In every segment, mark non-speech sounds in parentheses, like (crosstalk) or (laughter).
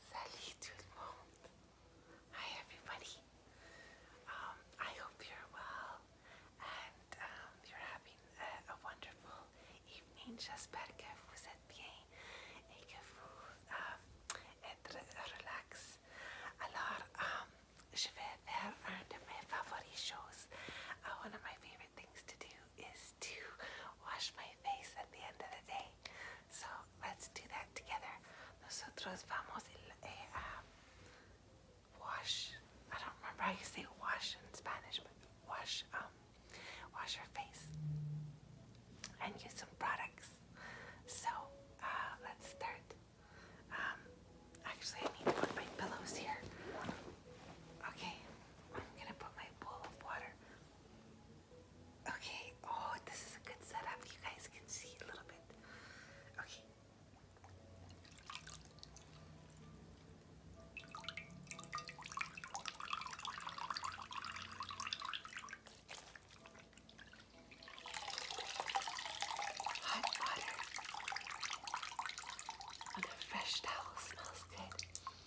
Salut tout le monde! Hi everybody! Um, I hope you're well and um, you're having a, wonderful evening. J'espère que vous êtes bien et que vous um, êtes relax. Alors, je vais faire un de mes favorite shows, things to do is to wash my face at the end of the day. So let's do that together. Nosotros vamos eh, a um, wash. I don't remember how you say wash in Spanish, but wash um, wash your face and use some products. So uh, let's start. Um, actually, I need to put my pillows here. Okay, I'm gonna put my bowl of water Okay, oh, this is a good setup. You guys can see a little bit. Okay. Hot water on oh, a fresh towel smells good.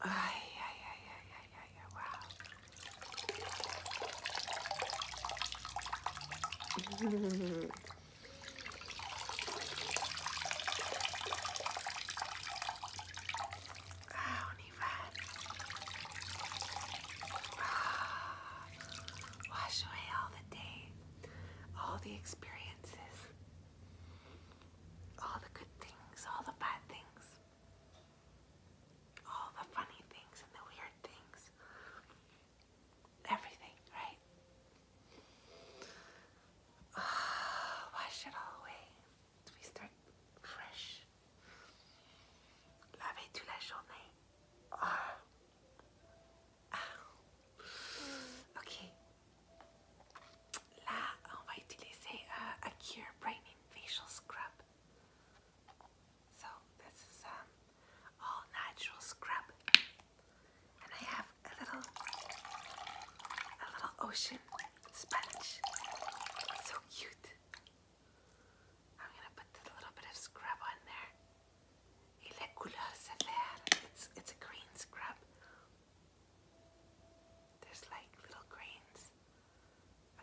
Ay, ay, ay, ay, ay, ay, wow ah, univers. Ah, wash away all the day, all the experiences, all the good things, all the bad things all the funny things and the weird things. Everything, right? Oh, wash it all away. We start fresh. Laver toute la journée. Oh. (sighs) Ah. Ok. Là, on va utiliser euh, Acure Brightening Facial Scrub. So this is um, all natural scrub. And I have a little a little ocean sponge. So cute. I'm gonna put a little bit of scrub on there. Et la couleur se It's it's a green scrub. There's like little grains.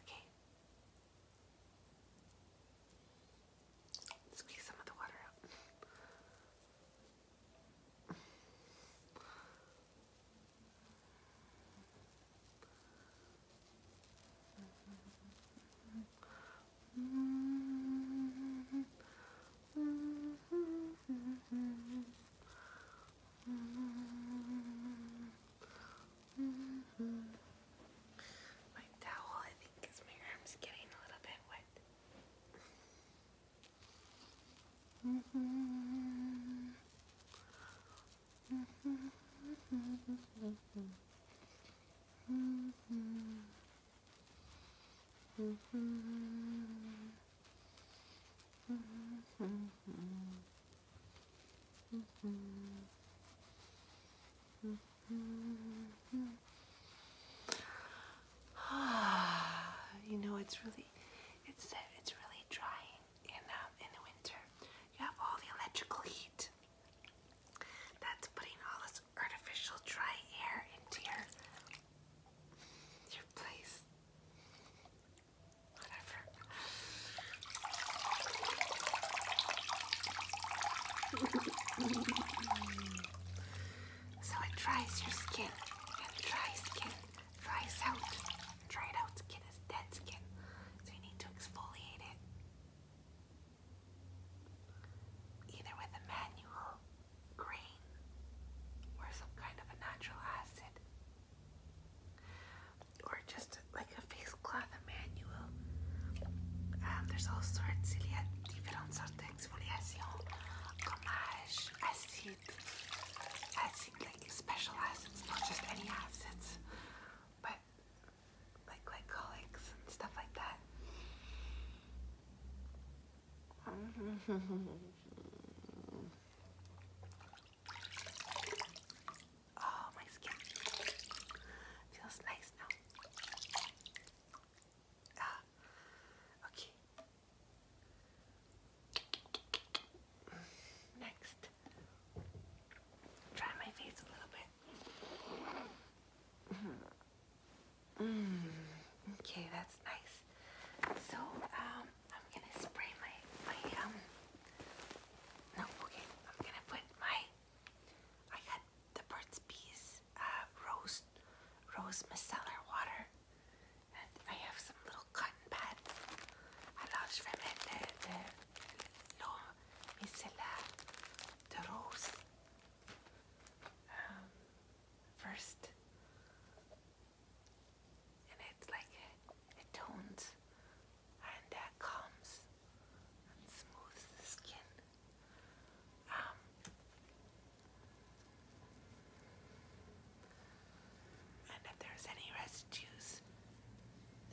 Okay. Squeeze some of the water out. Mm -hmm. My towel, I think, because my arm's getting a little bit wet. (sighs) you know, it's really, it's it's really drying in um, in the winter. You have all the electrical heat. That's putting all this artificial dry air into your your place. Whatever so it dries your skin, and dry skin dries out. Dried out skin is dead skin, so you need to exfoliate it. Either with a manual grain or some kind of a natural acid, or just like a face um, there's all sorts, il y a différentes sortes d'exfoliation, gommage, acide, acid like special acids, not just any acids, but like glycolics and stuff like that. (laughs) Oh, my skin feels nice now. Ah, okay. Next, try my face a little bit. Mm, okay, that's nice. So, um, I'm gonna spray my my um. No, okay. I'm gonna put my I had the Burt's Bees uh, rose, rose micellar water, and I have some little cotton pads. Alors, je vais mettre l'eau micellar de rose um, first, and it's like it tones and that comes and smooths the skin. Um, and if there's any residues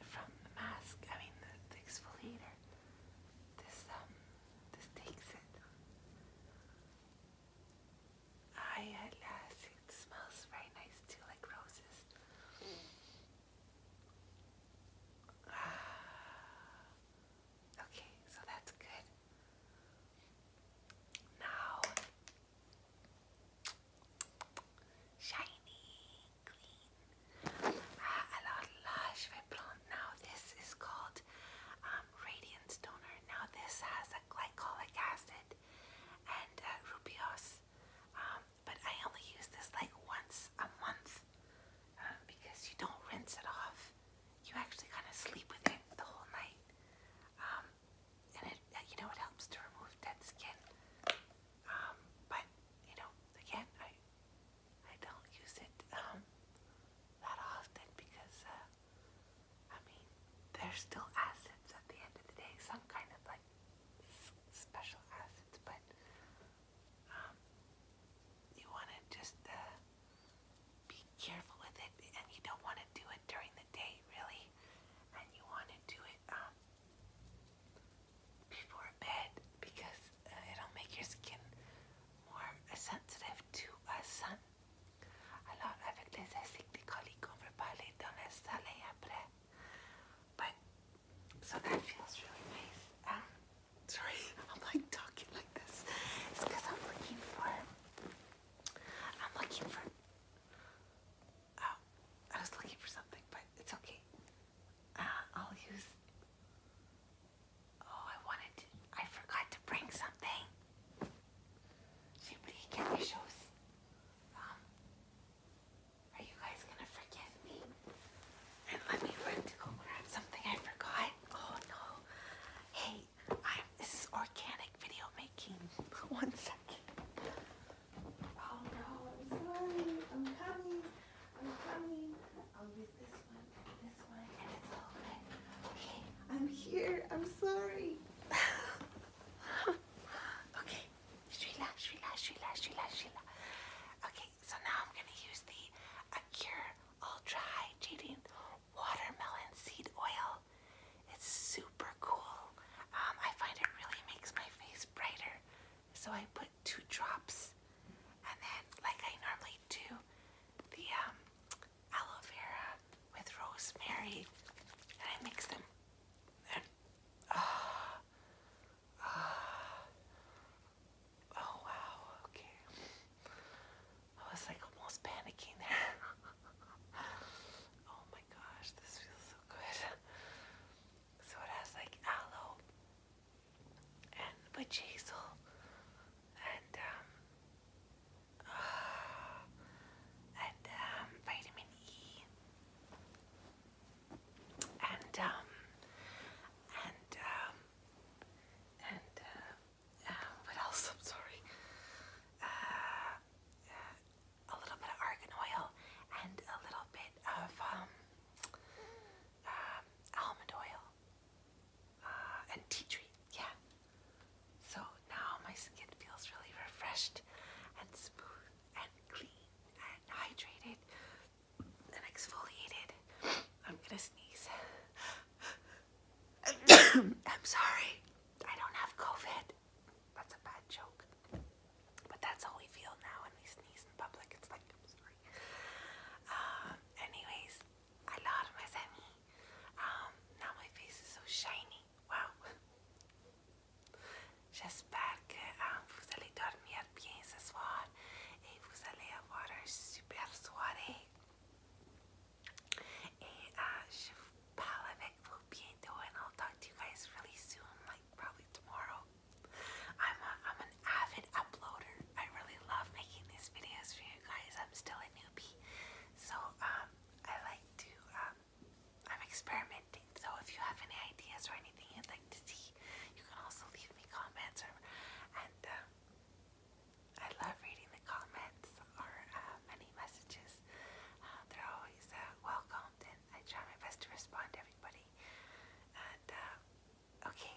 from the mask, I mean the, the exfoliator, this um this takes it. I at last it smells very nice too, like roses. (sighs) okay, so that's good. Now, shiny, clean, ah, a lot lush vibrant. Now this is called um, Radiant Radiance Now this has a glycolic acid and uh, rubios um, but I only use this like once a month um, because you don't rinse it off. You actually kind of sleep with it the whole night, um, and it uh, you know it helps to remove dead skin. Um, but you know, again, I I don't use it that often because uh, I mean there's still acids at the end of the day, some kind of like special acids, but um, you want to just uh, be careful with it, and you don't want to do it during the day, really. And you want to do it um, before bed because uh, it'll make your skin more sensitive to uh, sun. So that feels really nice. Um, sorry, (laughs) I'm like talking like this. It's because I'm looking for. I'm looking for. Oh, I was looking for something, but it's okay. Uh, I'll use. Oh, I wanted to. I forgot to bring something. Somebody get me shoes. Um, are you guys gonna forgive me? let me run to go grab something I forgot. Oh no. Hey, I'm, this organic video making. (laughs) One second. Oh no, I'm sorry. I'm coming. I'm coming. I'll use this one this one and it's all good. Okay, I'm here. I'm sorry. (laughs) okay, Sheila, Sheila, Sheila, so now I'm gonna use the Acure Ultra Hydrating Watermelon Seed Oil. It's super cool. Um, I find it really makes my face brighter. So I put two drops and then like I normally do the um, aloe vera with rosemary and I mix them ah, ah, Oh wow, okay. I was like almost panicking there. (laughs) oh my gosh, this feels so good. So it has like aloe and witch hazel and um uh, and um vitamin E and um and um and uh, uh, what else? (laughs) I'm sorry. Uh, a little bit of argan oil and a little bit of um, um, almond oil and tea tree. Yeah. So now my skin feels really refreshed and smooth and clean and hydrated and exfoliated. I'm gonna sneeze. I'm sorry. I don't have COVID. That's a bad joke. But that's how we feel now when we sneeze in public. It's like, I'm sorry. Um, anyways, I love my semi. Um, now my face is so shiny. Wow. J'espère que vous allez dormir bien ce soir froid et vous allez avoir un super soirée. Et uh, and I'll talk to you guys really soon, like probably tomorrow. I'm, a, I'm an avid uploader. I really love making these videos for you guys. I'm still a newbie. So um, I like to, um, I'm experimenting. So if you have any ideas or anything you'd like to see, you can also leave me comments or, um, I love reading the comments or uh, many messages. Uh, they're always uh, and I try my best to respond to everybody. And uh, okay,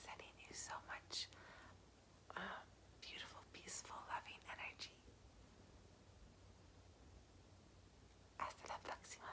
sending you so much um, beautiful, peaceful, loving energy. Hasta la próxima.